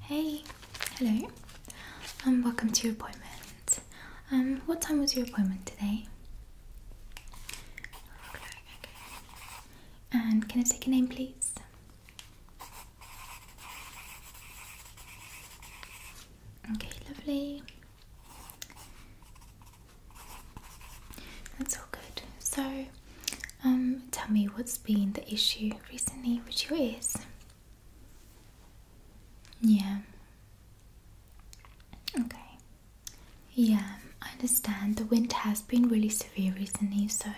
Hey, hello, and um, welcome to your appointment. Um, what time was your appointment today? And can I take your name, please? Okay, lovely. That's all good. So, um, tell me what's been the issue recently with your ears. Yeah. Okay. Yeah, I understand the wind has been really severe recently, so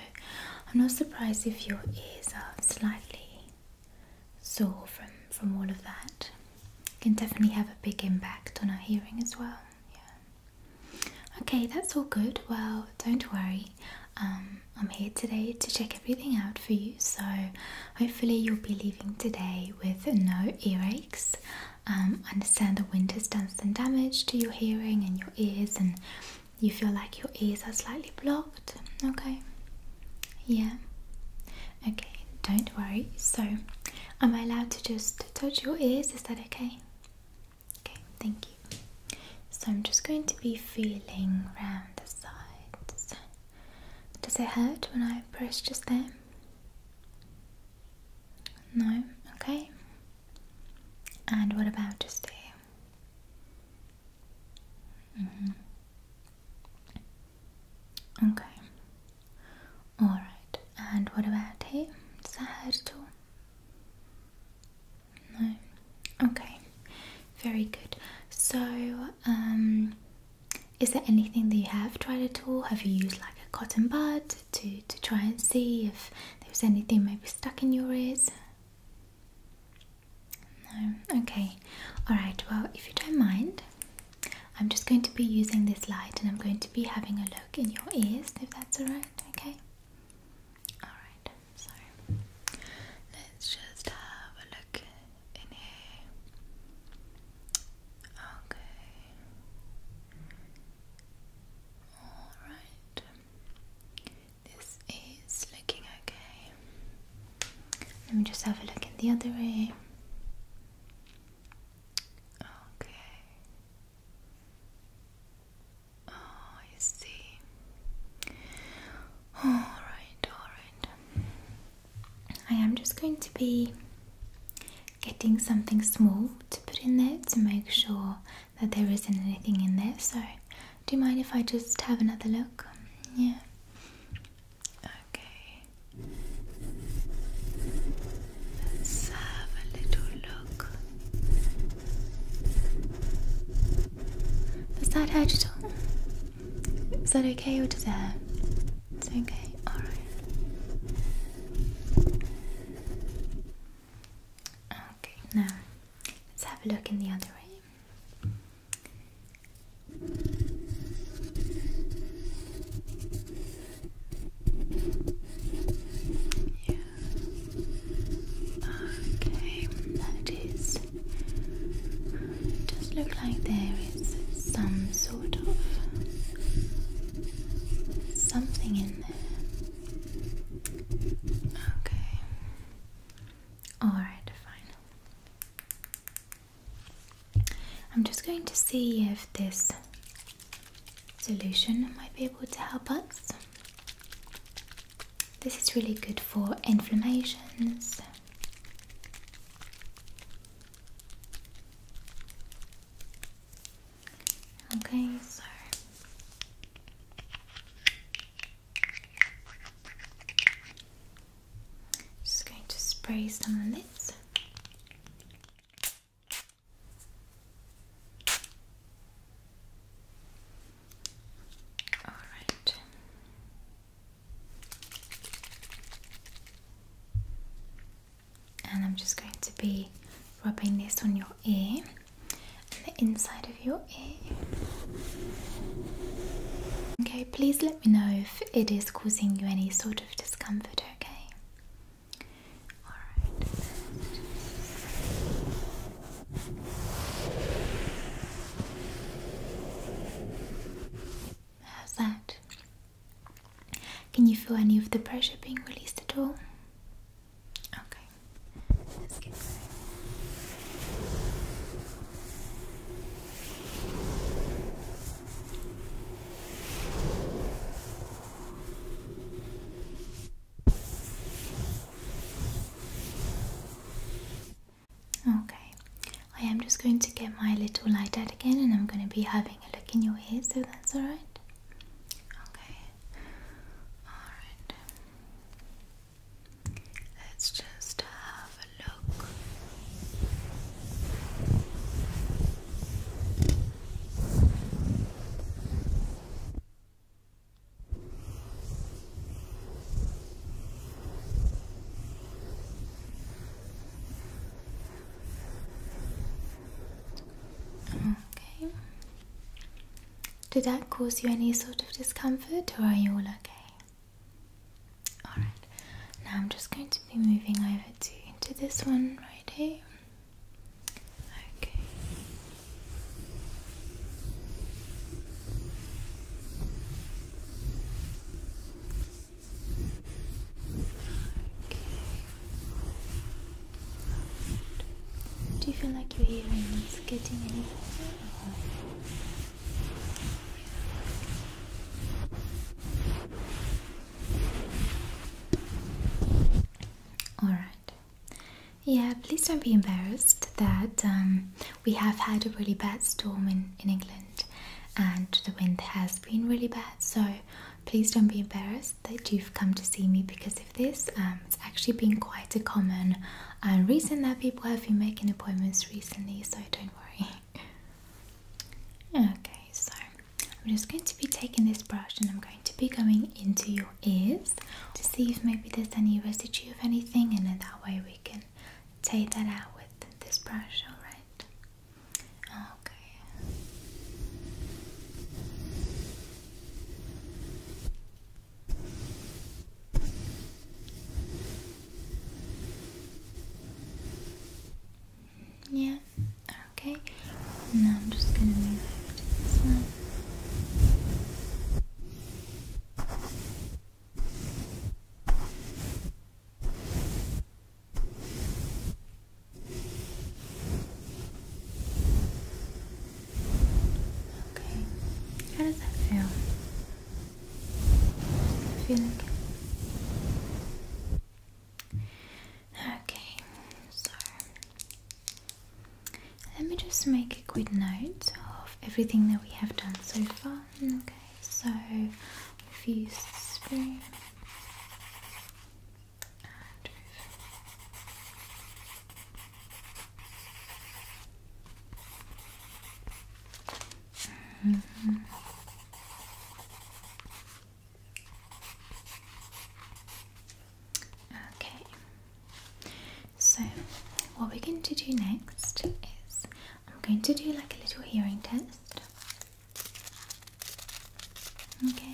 I'm not surprised if your ears are slightly sore from from all of that. It can definitely have a big impact on our hearing as well. Yeah. Okay, that's all good. Well, don't worry. Um, I'm here today to check everything out for you, so hopefully, you'll be leaving today with no earaches. Um, I understand the winter's done some damage to your hearing and your ears, and you feel like your ears are slightly blocked. Okay, yeah, okay, don't worry. So, am I allowed to just touch your ears? Is that okay? Okay, thank you. So I'm just going to be feeling around the sides. Does it hurt when I press just there? No? Okay. And what about just here? Mm-hmm. Okay. Alright. And what about here? Does that hurt too? No. Okay. Very good. So, um, is there anything that you have tried at all? Have you used like a cotton bud to to try and see if there was anything maybe stuck in your ears? No. Okay. All right. Well, if you don't mind, I'm just going to be using this light and I'm going to be having a look in your ears if that's all right. Okay. Alright, so let's just have a look in here. Okay. Alright. This is looking okay. Let me just have a look in the other way. Okay. Oh, I see. Alright, alright. I am just going to be getting something small to put in there to make sure that there isn't anything in there. So, do you mind if I just have another look? Yeah. Okay. Let's have a little look is that hurt you, all? Is that okay or does it It's okay, alright. Okay, now let's have a look in the other eye. Yeah. Okay, that is. It does look like there is some sort of something in there. Okay. Alright, fine. I'm just going to see if this solution might be able to help us. This is really good for inflammations. Okay, so just going to spray some on this. All right. And I'm just going to be rubbing this on your ear and the inside of your ear. Okay, please let me know if it is causing you any sort of discomfort, okay? How's that? Can you feel any of the pressure being released at all? Okay, All Okay, I am just going to get my little light out again and I'm going to be having a look in your ears, so that's alright. Okay, alright. Let's just have a look. Okay. Did that cause you any sort of discomfort or are you all okay? Alright, now I'm just going to be moving over to, to this one right here. Okay. Okay. Do you feel like you're hearing is getting any louder? Alright. Yeah, please don't be embarrassed that um, we have had a really bad storm in, in England and the wind has been really bad. So please don't be embarrassed that you've come to see me because of this. Um, it's actually been quite a common uh, reason that people have been making appointments recently, so don't worry. okay, so I'm just going to be taking this brush and I'm going to be going into your ears to see if maybe there's any residue of anything and then that way we can take that out with this brush, alright? Okay. Yeah, okay? Now I'm just gonna move over Okay, how does that feel? Does it Okay, so let me just make a quick note of everything that we have done so far. Okay, so we've used spoon and we've Okay, so what we're going to do next is I'm going to do like a little hearing test. Okay.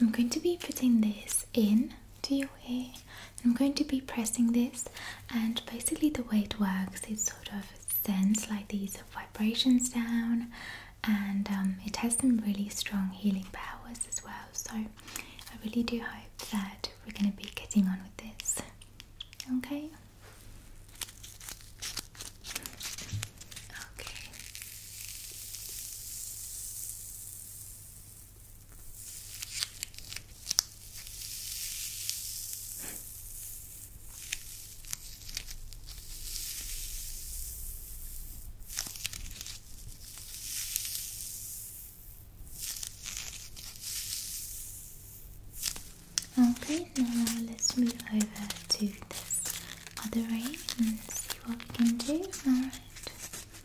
I'm going to be putting this in to your ear I'm going to be pressing this and basically the way it works it sort of sends like these vibrations down and um, it has some really strong healing powers as well so I really do hope that we're going to be getting on with this okay okay Okay, now let's move over to this other eye and see what we can do. Alright.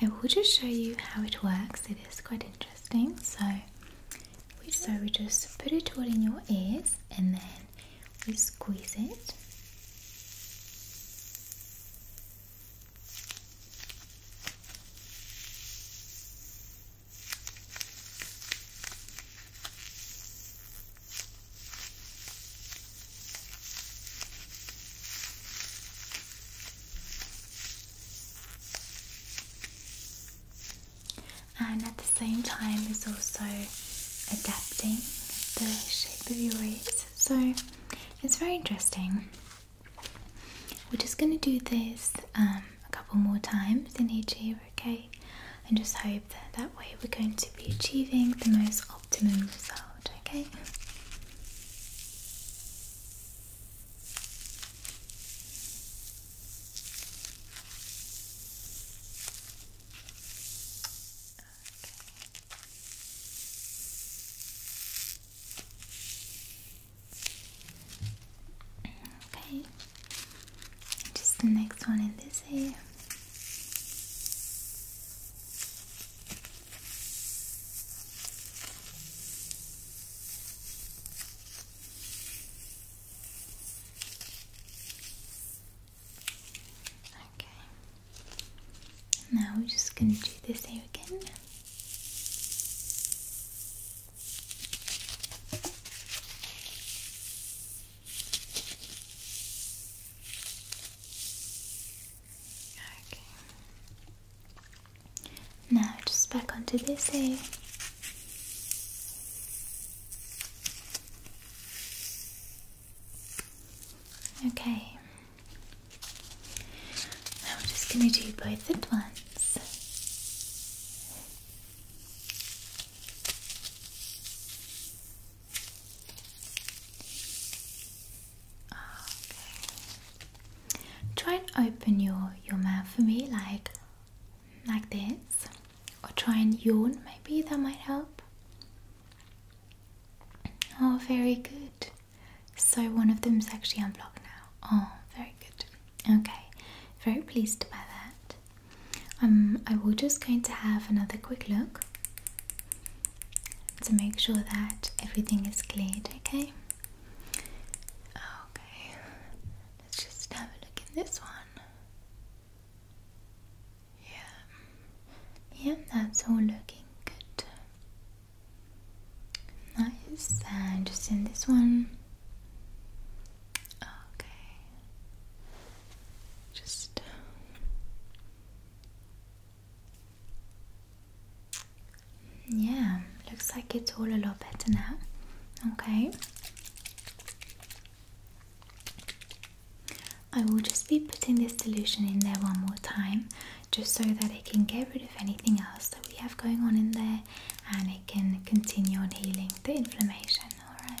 I will just show you how it works. It is quite interesting. So we so we just put it all in your ears and then we squeeze it and at the same time is also adapting the shape of your ears so it's very interesting we're just going to do this um, a couple more times in each ear okay and just hope that that way we're going to be achieving the most optimum result okay Okay. Just the next one in this here. Okay. Now we're just going to do this here again. Okay. Now just back onto this A. Okay. Now we're just gonna do both at once. Try and open your your mouth for me, like like this, or try and yawn. Maybe that might help. Oh, very good. So one of them's actually unblocked now. Oh, very good. Okay, very pleased by that. Um, I will just going to have another quick look to make sure that everything is cleared, okay? Okay, let's just have a look in this one. Yeah, yeah, that's all looking good. Nice, and just in this one. Okay, just yeah, looks like it's all a lot better now. Okay. I will just be putting this solution in there one more time just so that it can get rid of anything else that we have going on in there and it can continue on healing the inflammation, alright?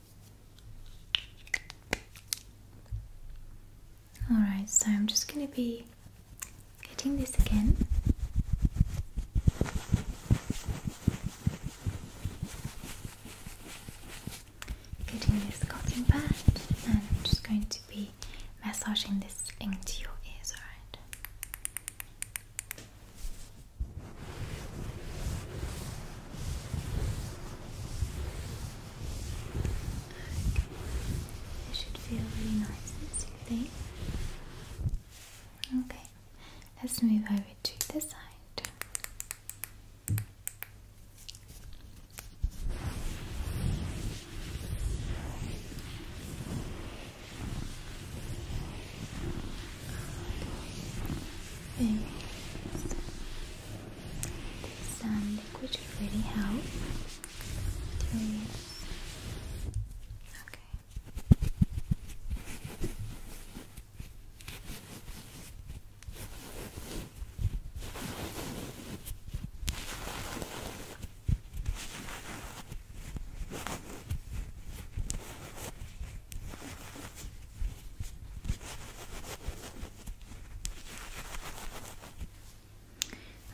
Alright, so I'm just gonna be getting this again. Getting this cotton pad, and I'm just going to be massaging this into your ears, alright? It should feel really nice and soothing. Okay, let's move over to the side. Very some liquid really helps. Okay.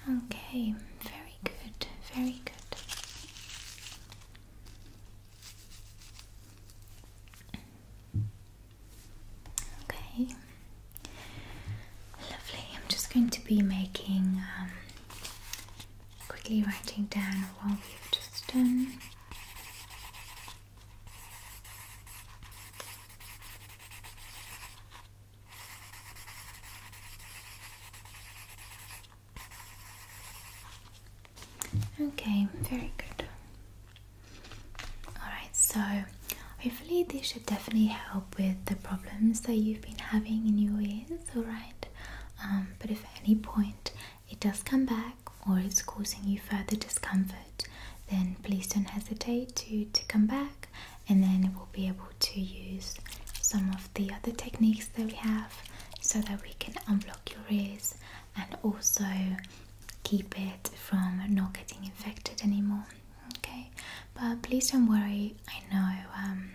Okay, very good, very good. Okay, lovely. I'm just going to be making, um, quickly writing down what we've just done. Okay, very good. Alright, so hopefully, this should definitely help with the problems that you've been having in your ears, alright? Um, but if at any point it does come back or it's causing you further discomfort, then please don't hesitate to, to come back and then we'll be able to use some of the other techniques that we have so that we can unblock your ears and also keep it from not getting infected anymore okay but please don't worry i know um,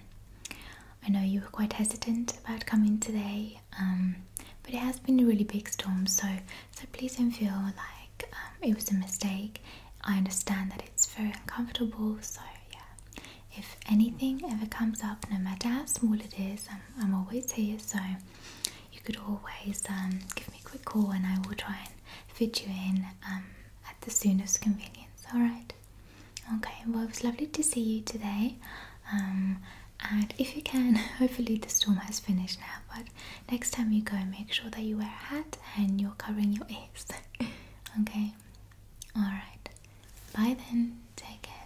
i know you were quite hesitant about coming today um, but it has been a really big storm so so please don't feel like um, it was a mistake I understand that it's very uncomfortable so yeah if anything ever comes up no matter how small it is always here so you could always um, give me a quick call and I will try and fit you in um, at the soonest convenience alright okay well it was lovely to see you today um, and if you can, hopefully the storm has finished now. But next time you go, make sure that you wear a hat and you're covering your ears. okay? Alright. Bye then. Take care.